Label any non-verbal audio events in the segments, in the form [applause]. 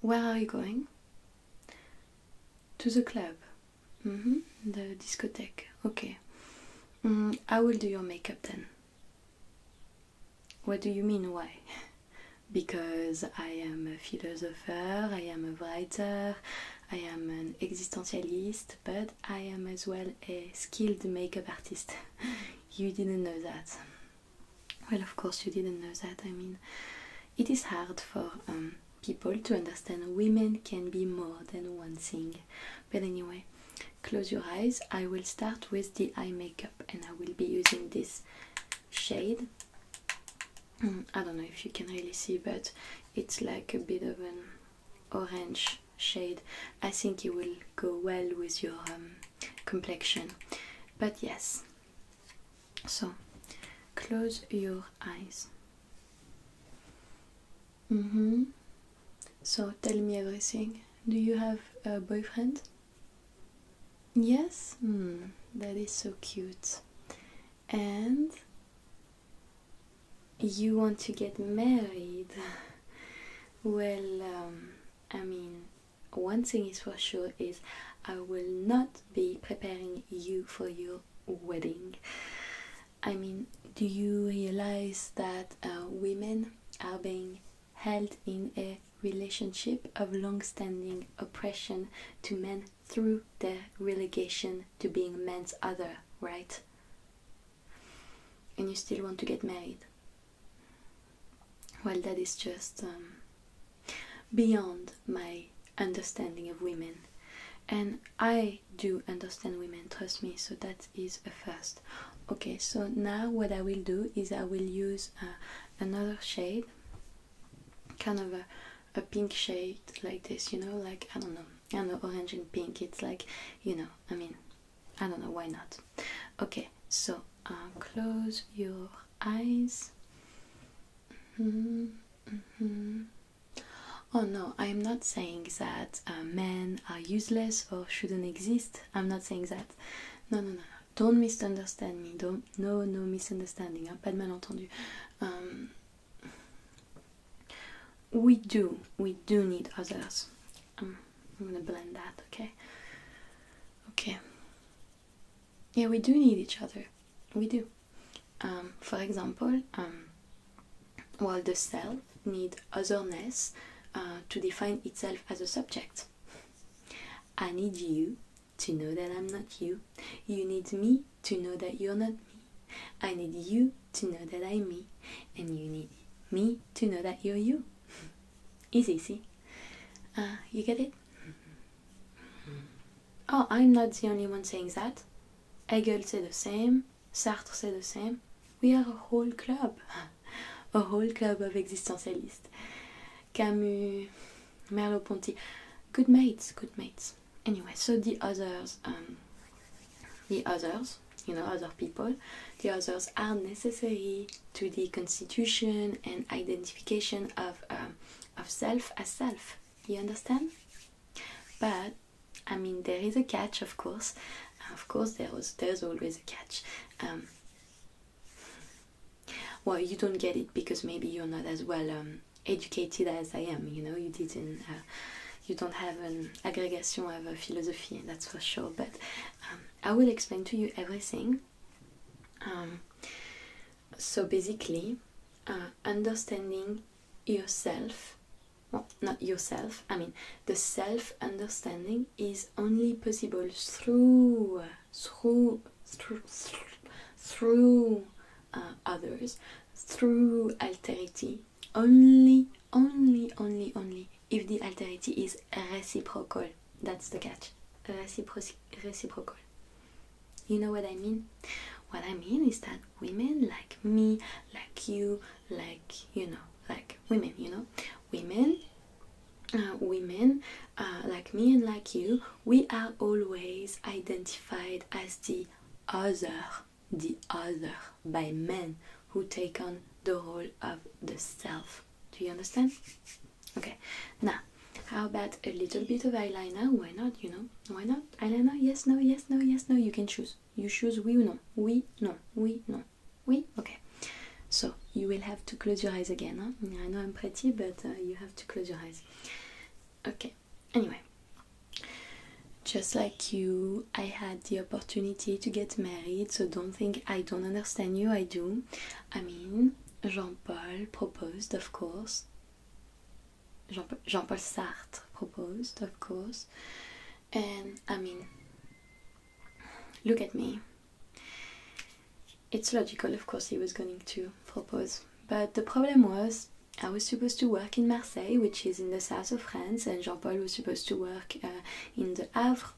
Where are you going? To the club. Mm-hmm. The discotheque. Okay. I mm, will do your makeup then. What do you mean, why? [laughs] because I am a philosopher, I am a writer, I am an existentialist, but I am as well a skilled makeup artist. [laughs] you didn't know that. Well, of course, you didn't know that. I mean, it is hard for um, people to understand women can be more than one thing. But anyway, close your eyes. I will start with the eye makeup and I will be using this shade. Mm, I don't know if you can really see, but it's like a bit of an orange shade i think it will go well with your um, complexion but yes so close your eyes mm-hmm so tell me everything do you have a boyfriend yes hmm, that is so cute and you want to get married? [laughs] well, um, I mean, one thing is for sure is I will not be preparing you for your wedding. I mean, do you realize that uh, women are being held in a relationship of long standing oppression to men through their relegation to being men's other, right? and you still want to get married. Well, that is just um, beyond my understanding of women. And I do understand women, trust me, so that is a first. Okay, so now what I will do is I will use uh, another shade, kind of a, pink shade like this, you know, like, I don't know, and orange and pink, it's like you know i mean i don't know why not okay so uh, close your eyes mm-hmm, mm-hmm. oh no i'm not saying that uh, men are useless or shouldn't exist i'm not saying that no no no, don't misunderstand me don't no no misunderstanding hein? pas de malentendu um, we do we do need others um, i'm gonna blend that okay okay yeah we do need each other we do um, for example um, while the self needs otherness uh, to define itself as a subject i need you to know that i'm not you you need me to know that you're not me [laughs] I need you to know that I'm me, and you need me to know that you're you. It's [laughs] easy, see? Uh, you get it? [laughs] Oh, I'm not the only one saying that. Hegel said the same, Sartre said the same. We are a whole club, a whole club of existentialists. Camus, Merleau-Ponty, good mates, good mates. Anyway, so the others, um, the others, you know, other people, the others are necessary to the constitution and identification of um, of self as self. You understand? But I mean, there is a catch, of course. Of course, there was there's always a catch. Um, well, you don't get it because maybe you're not as well um, educated as I am. You know, you didn't. have. Uh, you don't have an aggregation of a philosophy, that's for sure. But um, I will explain to you everything. Um, so basically, uh, understanding yourself, well, not yourself, I mean, the self understanding is only possible through, through, through, through uh, others, through alterity, only, only, only, only if the alterity is reciprocal. That's the catch. Reciprocal, reciprocal. You know what I mean? What I mean is that women like me, like you, like you know, like women, you know, women, uh, women uh, like me and like you, we are always identified as the other the other by men who take on the role of the self. Do you understand? Okay, now how about a little bit of eyeliner? Why not? You know, why not? Eyeliner? Yes, no, yes, no, yes, no. You can choose. You choose oui ou non. Oui, non, oui, non. Oui? Okay. So you will have to close your eyes again. I know I'm pretty, but uh, you have to close your eyes. Okay, anyway, just like you, I had the opportunity to get married, so don't think I don't understand you, I do. I mean, Jean Paul proposed, of course. Jean Paul, Jean Paul Sartre proposed, of course. And I mean, look at me. It's logical, of course, he was going to propose. But the problem was I was supposed to work in Marseille, which is in the south of France, and Jean Paul was supposed to work uh, in the Havre.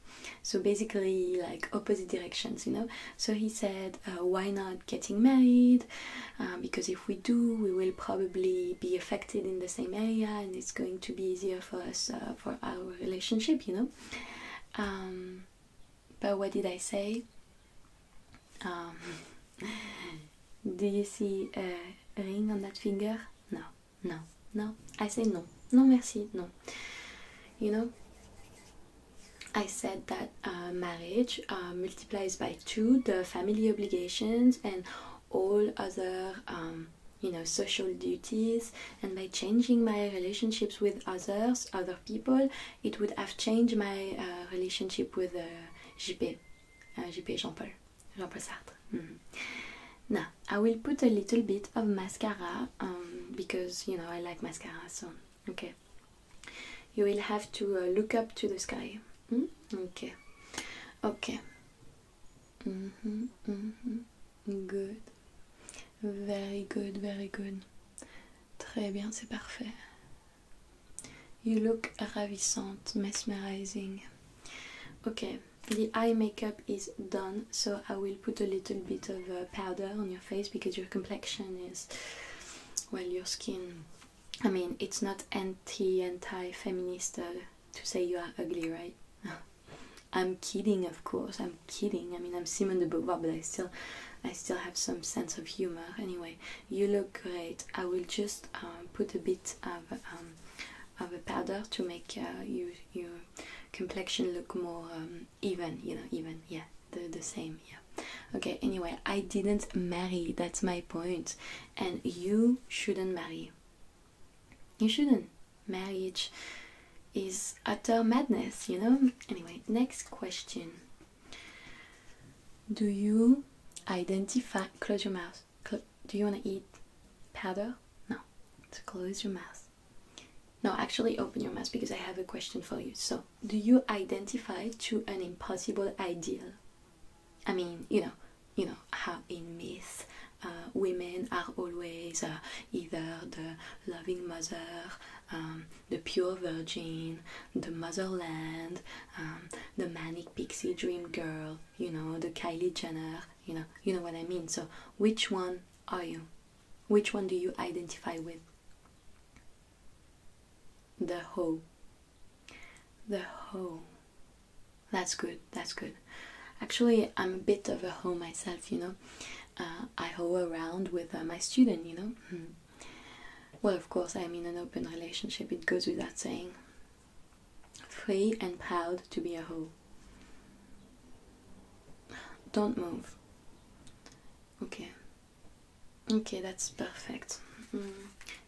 So basically, like opposite directions, you know. So he said, uh, Why not getting married? Uh, because if we do, we will probably be affected in the same area and it's going to be easier for us for our relationship, you know. Um, but what did I say? Um, [laughs] do you see a ring on that finger? no, no, no. I say no, no, merci, no. You know, I said that uh, marriage uh, multiplies by two the family obligations and all other, um, you know, social duties. And by changing my relationships with others, other people, it would have changed my uh, relationship with uh, JP, JP Jean Paul. Mm-hmm. Now, I will put a little bit of mascara um, because you know I like mascara, so okay. You will have to uh, look up to the sky. Mm? Okay, okay. Mm-hmm, mm-hmm. Good, very good, very good. Très bien, c'est parfait. You look ravissante, mesmerizing. Okay, the eye makeup is done, so I will put a little bit of uh, powder on your face because your complexion is, well, your skin. I mean, it's not anti anti feminist uh, to say you are ugly, right? [laughs] I'm kidding, of course. I'm kidding. I mean, I'm Simon de Beauvoir, but I still, I still have some sense of humor. Anyway, you look great. I will just um, put a bit of um, um, of a powder to make uh, your complexion look more um, even, you know, even, yeah, the, the same, yeah. Okay, anyway, I didn't marry, that's my point, and you shouldn't marry. You shouldn't. Marriage is utter madness, you know? Anyway, next question. Do you identify, close your mouth, do you want to eat powder? No. close your mouth. No, actually open your mouth because I have a question for you. So, do you identify to an impossible ideal? I mean, you know, you know how in myths, uh, women are always uh, either the loving mother, um, the pure virgin, the motherland, um, the manic pixie dream girl, you know, the Kylie Jenner, you know, you know what I mean. So which one are you? Which one do you identify with? The hoe. The hoe. That's good. That's good. Actually, I'm a bit of a hoe myself, you know. Uh, I hoe around with uh, my student, you know. Hmm. Well, of course, I'm in an open relationship. It goes without saying free and proud to be a whole. Don't move. Okay. Okay, that's perfect. Mm.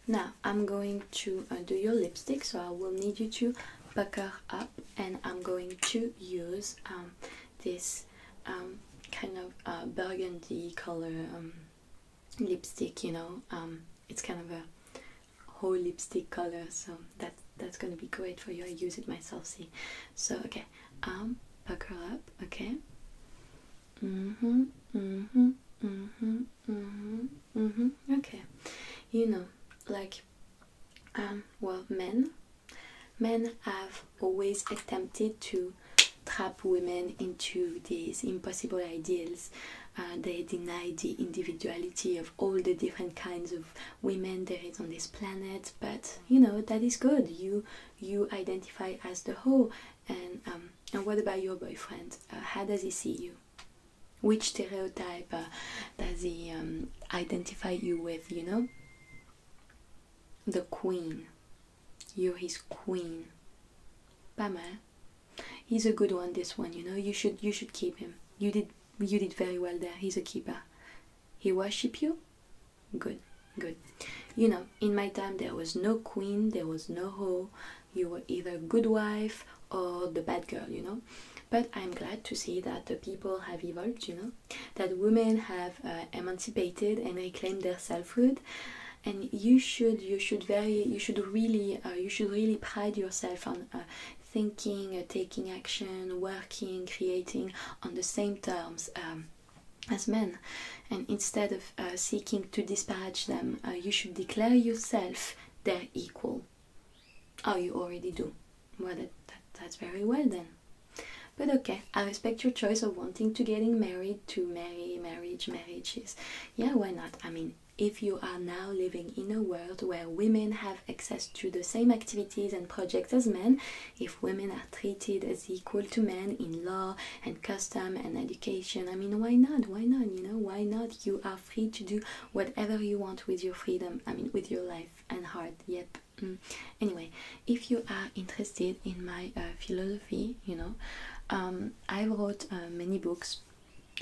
Now I'm going to uh, do your lipstick, so I will need you to pucker up, and I'm going to use um, this um, kind of uh, burgundy color. Um, lipstick you know um, it's kind of a whole lipstick color so that that's gonna be great for you I use it myself see so okay um, buckle up okay hmm hmm hmm hmm hmm okay you know like um, well men men have always attempted to trap women into these impossible ideals uh, they deny the individuality of all the different kinds of women there is on this planet but you know that is good you you identify as the whole and um, and what about your boyfriend uh, how does he see you which stereotype uh, does he um, identify you with you know the queen you're his queen pas mal he's a good one this one you know you should you should keep him you did you did very well there he's a keeper he worship you good good you know in my time there was no queen there was no hoe you were either good wife or the bad girl you know but i'm glad to see that the people have evolved you know that women have uh, emancipated and reclaimed their selfhood and you should you should very you should really uh, you should really pride yourself on uh, thinking, uh, taking action, working, creating on the same terms um, as men. And instead of uh, seeking to disparage them, you should declare yourself their equal. Oh, you already do. Well, that, that, that's very well then. But okay, I respect your choice of wanting to getting married to marry marriage marriages. Yeah, why not? I mean, if you are now living in a world where women have access to the same activities and projects as men, if women are treated as equal to men in law and custom and education, I mean, why not? Why not? You know, why not? You are free to do whatever you want with your freedom, I mean, with your life and heart. Yep. Mm. Anyway, if you are interested in my uh, philosophy, you know, um, I wrote uh, many books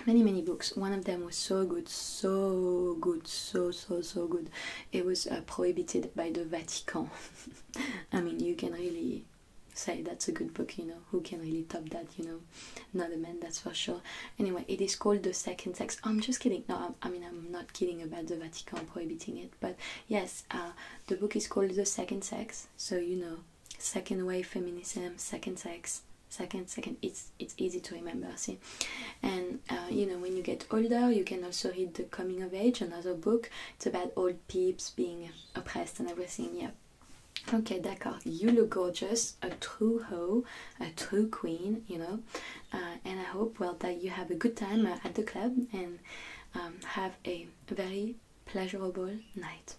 many many books one of them was so good so good so so so good it was uh, prohibited by the vatican [laughs] i mean you can really say that's a good book you know who can really top that you know not a man that's for sure anyway it is called the second sex i'm just kidding no i mean i'm not kidding about the vatican prohibiting it but yes uh, the book is called the second sex so you know second wave feminism, second sex, second, second. It's it's easy to remember. See, and uh, you know when you get older, you can also read the coming of age, another book. It's about old peeps being oppressed and everything. Yeah. Okay, d'accord. You look gorgeous, a true hoe, a true queen, you know. Uh, and I hope, well, that you have a good time uh, at the club and um, have a very pleasurable night.